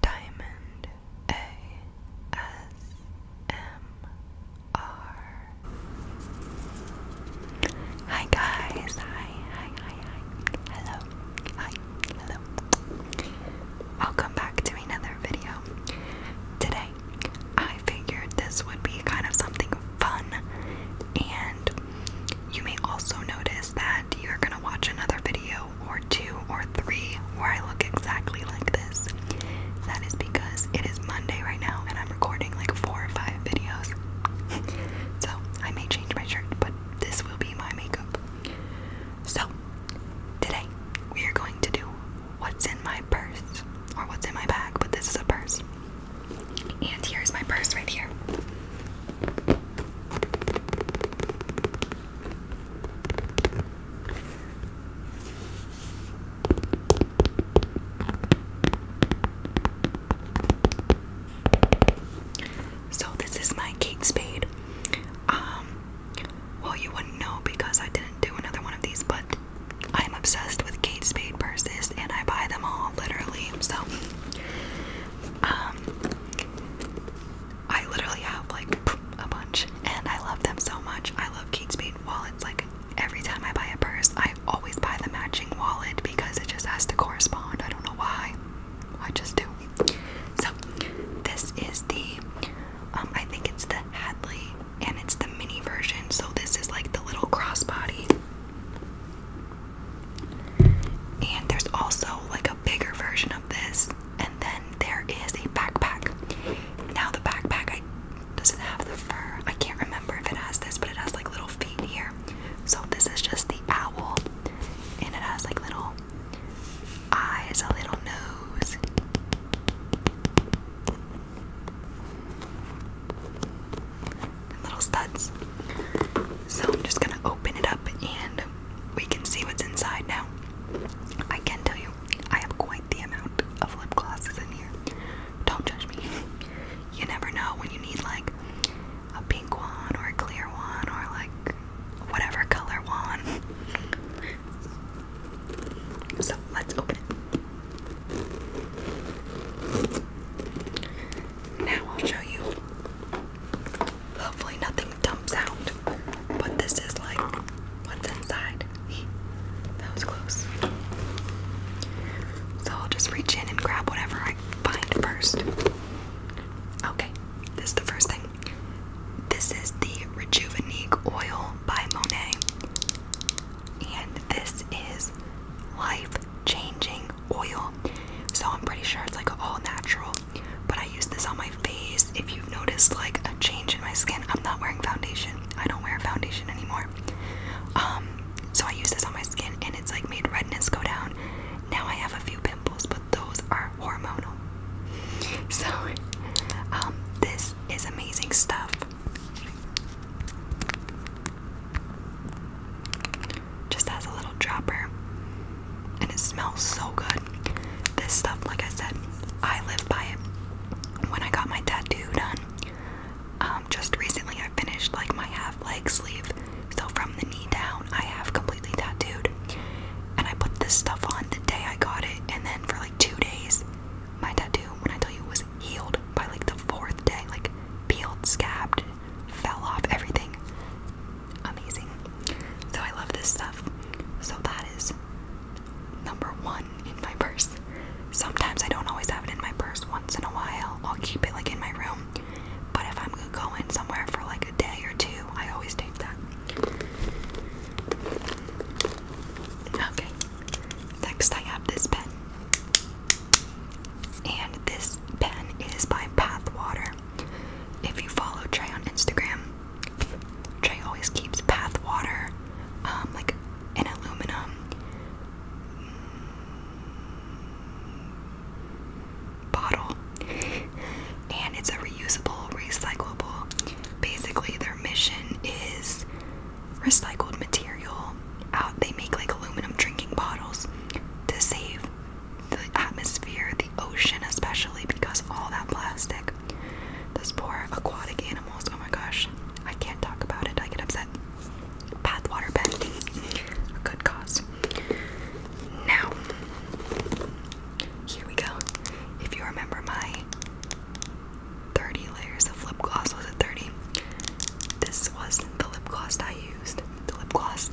Diamond ASMR. Hi guys, hi, hi, hi, hi. Hello, hi, hello. Welcome back to another video. Today, I figured this would be kind of something fun, and you may also notice that you're gonna watch another video or two or three where I look exactly like this. That is because it is Monday right now and I'm recording like four or five videos. so I may change my shirt, but this will be my makeup. So today we are going to do what's in my purse or what's in my bag, but this is a purse. And here's my purse right here. So this is my Kate Spade. Um, well, you wouldn't know because I didn't do another one of these, but I am obsessed with Kate Spade purses, and I buy them all literally. So, um, I literally have like a bunch and I love them so much. I love Kate Spade wallets. Like every time I buy a purse, I always buy the matching wallet because it just has to correspond. I don't know why. I just do. So this is the um, I think it's the Hadley and it's the mini version. So this is like the little crossbody. And there's also like a bigger version of this, and then there is a backpack. Now the backpack I doesn't have the fur. I can't remember if it has this, but it has like little feet here. So this is just the owl, and it has like little eyes, a little nose. little studs. So I'm just gonna open it up and we can see what's inside now. I can tell you, I have quite the amount of lip glosses in here. Don't judge me. You never know when you need like a pink one or a clear one or like whatever color one. So let's open it. Now I'll show you Hopefully nothing dumps out. But this is like what's inside. That was close. So I'll just reach in and grab whatever I find first. Okay, this is the first thing. This is the Rejuvenique Oil by Monet. And this is life changing oil. So I'm pretty sure it's like all natural. But I use this on my face. If you've noticed like a change in my skin, I'm not wearing foundation. I don't wear foundation anymore. Um, so I use this on my skin and it's like made redness go down. Now I have a few pimples, but those are hormonal. So um, this is amazing stuff. Just has a little dropper. And it smells so good. This stuff, like I said, I live by it. When I got my tattoo done, um, just recently I finished like my half leg sleeve. So from the knee down, I have completely tattooed. And I put this stuff on the day I got it. And then for like two days, my tattoo, when I tell you, was healed by like the fourth day. Like peeled, scabbed, fell off everything. Amazing. So I love this stuff. So that is number one in my purse. Sometimes I don't always have it in my purse. Once in a while, I'll keep it like in my room. But if I'm going somewhere for like a day or two, I always take that. Okay. Next, I have this pen. And this pen is by Pathwater. If you follow Trey on Instagram, Trey always keeps Pathwater, um, like an aluminum bottle. And it's a reusable, recyclable. Basically, their mission is recycled material out they make like aluminum drinking bottles to save the atmosphere, the ocean especially because of all that plastic. Those poor aquatic animals. Oh my gosh. I can't talk about it. I get upset. Bathwater bending. A good cause. Now, here we go. If you remember my 30 layers of lip gloss, was it 30? This wasn't the lip gloss I used. The lip gloss.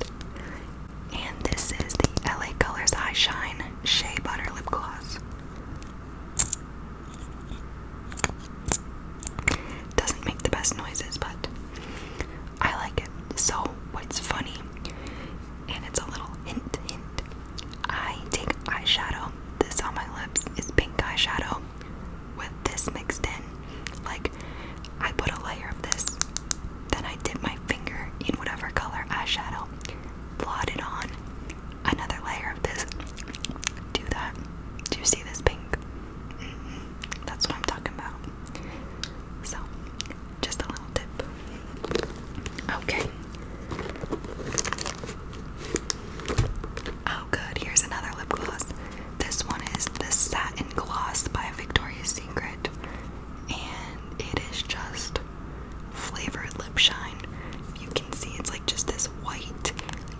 And this is the LA Colors Eye Shine Shea Butter Lip Gloss. Doesn't make the best noises, but I like it. So, what's funny, and it's a little hint, hint, I take eyeshadow. This on my lips is pink eyeshadow with this mixed in. Like, I put a layer of this, then I dip my finger in whatever color eyeshadow, blot it on, another layer of this. Do that. Do you see this pink? Mm-hmm. That's what I'm talking about. So, just a little tip. Okay. Oh, good. Here's another lip gloss. This one is the Satin Gloss by Victoria's Secret, and it is just flavored lip shine. You can see it's like just this white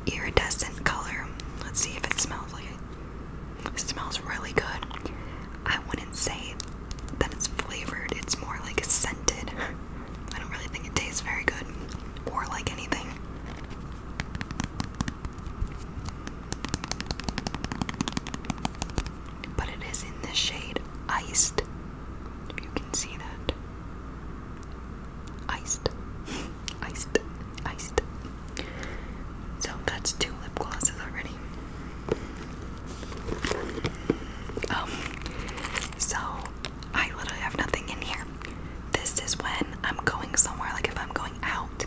iridescent color. Let's see if it smells like it. It smells really good. I wouldn't say that it's flavored, it's more like scented. I don't really think it tastes very good or like anything. But it is in the shade Iced. If you can see that. Iced. iced. Iced. So that's two lip glosses already. Um, so I literally have nothing in here. This is when I'm going somewhere, like if I'm going out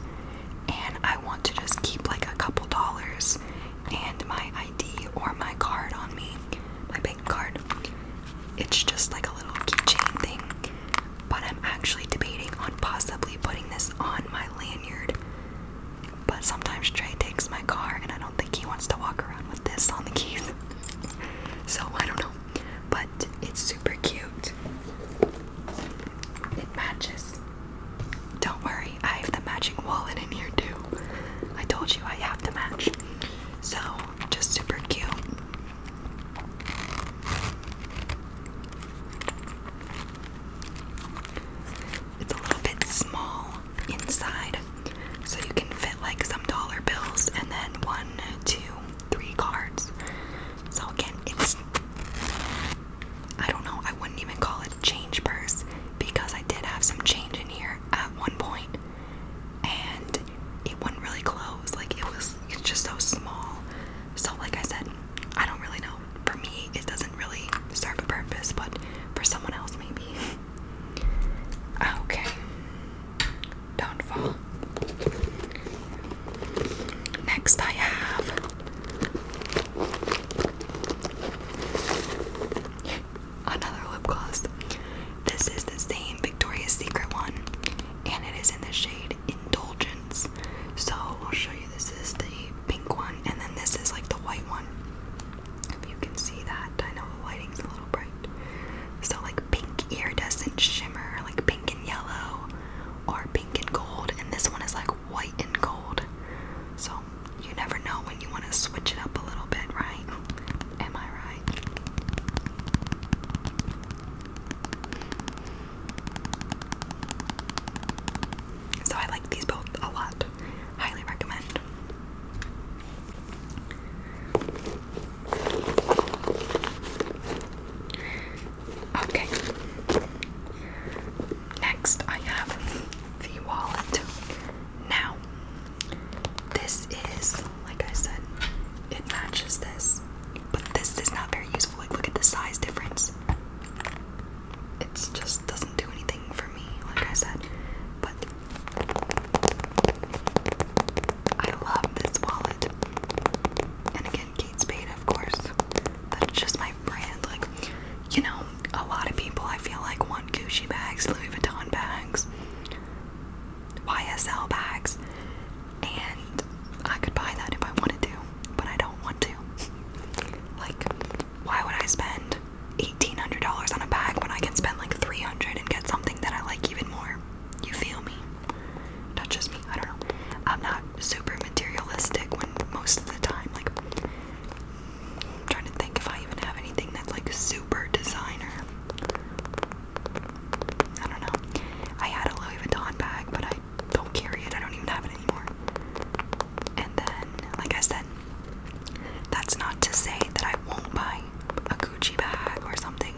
and I want to just keep like a couple dollars and my ID or my card on me, my bank card. It's just like a little keychain thing. But I'm actually debating on possibly putting this on my lanyard. But sometimes Trey takes my car and I don't think he wants to walk around with this on the keys. so I don't know but it's super cute. It matches. Don't worry, I have the matching wallet in here too. I told you I have the match. So, just super cute. It's a little bit small inside, so you can fit like some dollar bills and then one, two, three cards. So again, it's I don't know, I wouldn't even call it change purse because I did have some change in here at one point and it was not really close. Like it was it's just so small. So like I said, I don't really know. For me it doesn't really serve a purpose, but for someone else maybe. Okay. Don't fall. Next, I have another lip gloss. This is the same Victoria's Secret one, and it is in the shade Indulgence. So, I'll show you this is the pink one, and then this is like the white one. If you can see that, I know the lighting's a little bright. So, like, pink iridescent shimmer, like pink and yellow, or pink and gold, and this one is like white and gold. So, you never know when you want to switch it up a little bit, right? Am I right? So, I like these both a lot. Highly recommend. Okay. Next, I have the wallet. Now, this is, like I said, it matches this, but this is not very useful. Like, look at the size difference. It just doesn't do anything for me, like I said. But I love this wallet. And again, Kate Spade, of course. That's just my brand. Like, you know, a lot of people I feel like want Gucci bags, Louis Vuitton bags, YSL bags, and I could buy that if I wanted to, but I don't want to. Like, why would I spend $1,800 on a bag when I can spend like 300 and get something that I like even more. You feel me? Touches me, I don't know. I'm not super materialistic when most of the time, like, I'm trying to think if I even have anything that's like super designer. I don't know. I had a Louis Vuitton bag, but I don't carry it. I don't even have it anymore. And then, like I said, that's not to say that I won't buy a Gucci bag or something,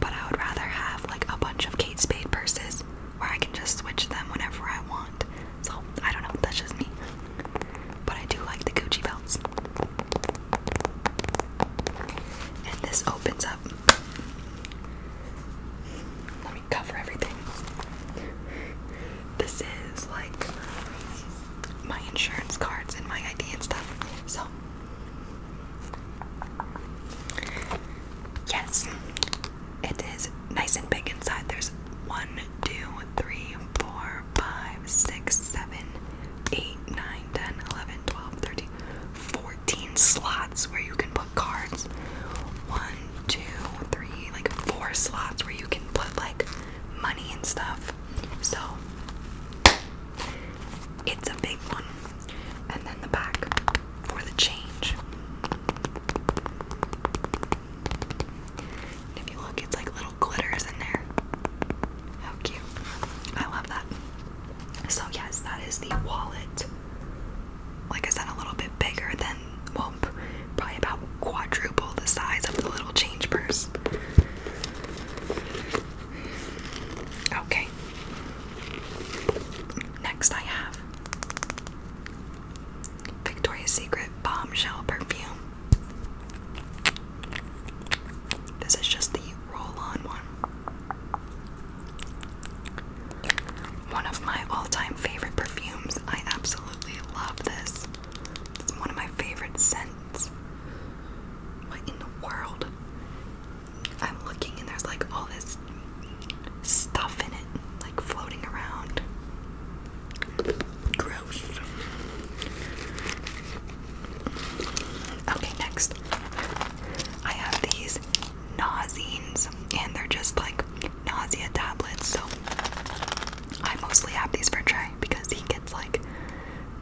but I would rather have like a bunch of Kate Spade purses where I can just switch them whenever I want. So I don't know, that's just me. But I do like the Gucci belts. And this opens up. Let me cover everything. This is like my insurance cards and my ID and stuff. So, yes, it is nice and big inside. There's one, two, three, four, five, six, seven, eight, nine, ten, eleven, twelve, thirteen, fourteen slots where you can put cards. One, two, three, like four slots where you can put like money and stuff. So it's a big one. And then the back for the change. if you look, it's like little glitters in there. How cute. I love that. So, yes, that is the wallet. Like I said, a little bit bigger than, well, probably about quadruple the size of the little change purse. Okay. Next, I have Victoria's Secret Bombshell Perfume. This is just the roll on one. One of my all time favorite perfumes. I absolutely love this. It's one of my favorite scents. What in the world? I'm looking and there's like all this stuff in it, like floating around. Gross. Okay, next. I have these Nausines, and they're just like nausea tablets. So I mostly have these for Trey because he gets like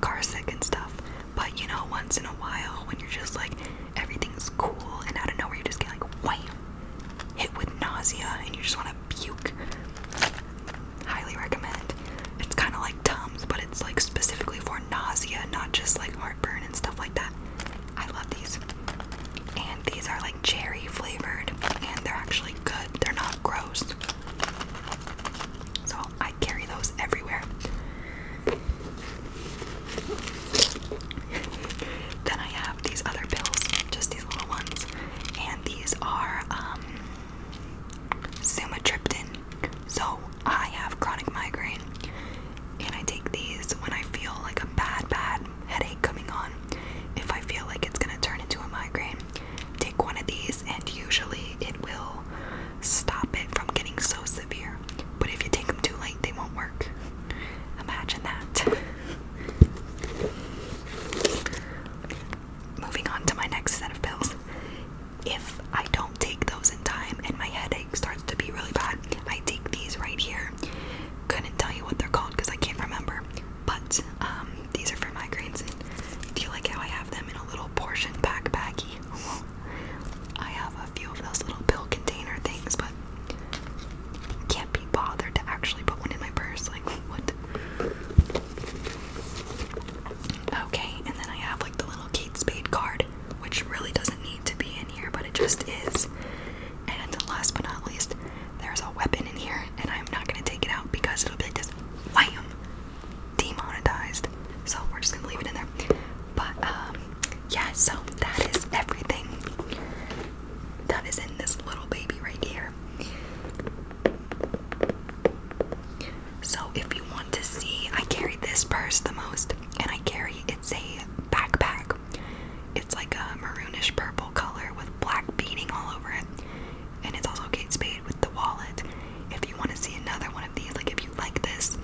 car sick and stuff. But you know, once in a while, when you're just like everything's cool and out of nowhere, you just get like wham, hit with nausea and you just want to puke. Highly recommend. It's kind of like Tums, but it's like specifically for nausea, not just like heartburn and stuff like that. I love these. And these are like cherry flavored, and they're actually good. They're not gross. So I carry those everywhere. then I have these other pills, just these little ones, and these are um, sumatriptan. So I have chronic migraine, and I take these when I feel like a bad, bad headache coming on, if I feel like it's gonna turn into a migraine, take one of these and usually it will stop it from getting so severe. But if you take them too late, they won't work. Imagine that. Moving on to my next set of pills. If I don't take those in time and my headache starts to be really bad, I take these right here. Couldn't tell you what they're called because I can't remember. But um, these are for migraines. And do you like how I have them in a little portion pack Well, I have a few of those little pill container things, but can't be bothered to actually put one in my purse. Like what? Okay, and then I have like the little Kate Spade card, which really doesn't need to be in here, but it just is. And last but not least, there's a weapon in here, and I'm not gonna take it out because it'll be just, wham demonetized. So we're just gonna leave it in there. But um, yeah, so that is everything that is in this little baby right here. So if you want to see, I carry this purse the most, and I carry it's a backpack it's like a maroonish purple color with black beading all over it. And it's also Kate Spade with the wallet. If you want to see another one of these, like if you like this,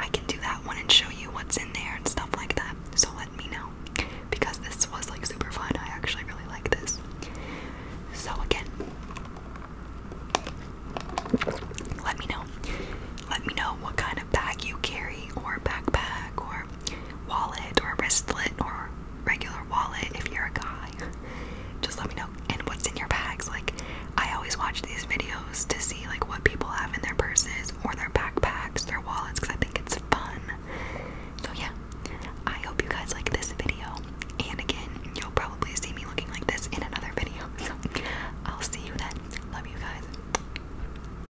I can do that one and show you what's in there and stuff like that. So let me know. Because this was like super fun. I actually really like this. So again, let me know. Let me know what kind of bag you carry or backpack or wallet or wristlet or regular wallet if you're a guy. Just let me know. And what's in your bags? Like, I always watch these videos to see like what people have in their purses or their backpacks, their wallets, because I think it's fun. So yeah, I hope you guys like this video. And again, you'll probably see me looking like this in another video. So I'll see you then. Love you guys.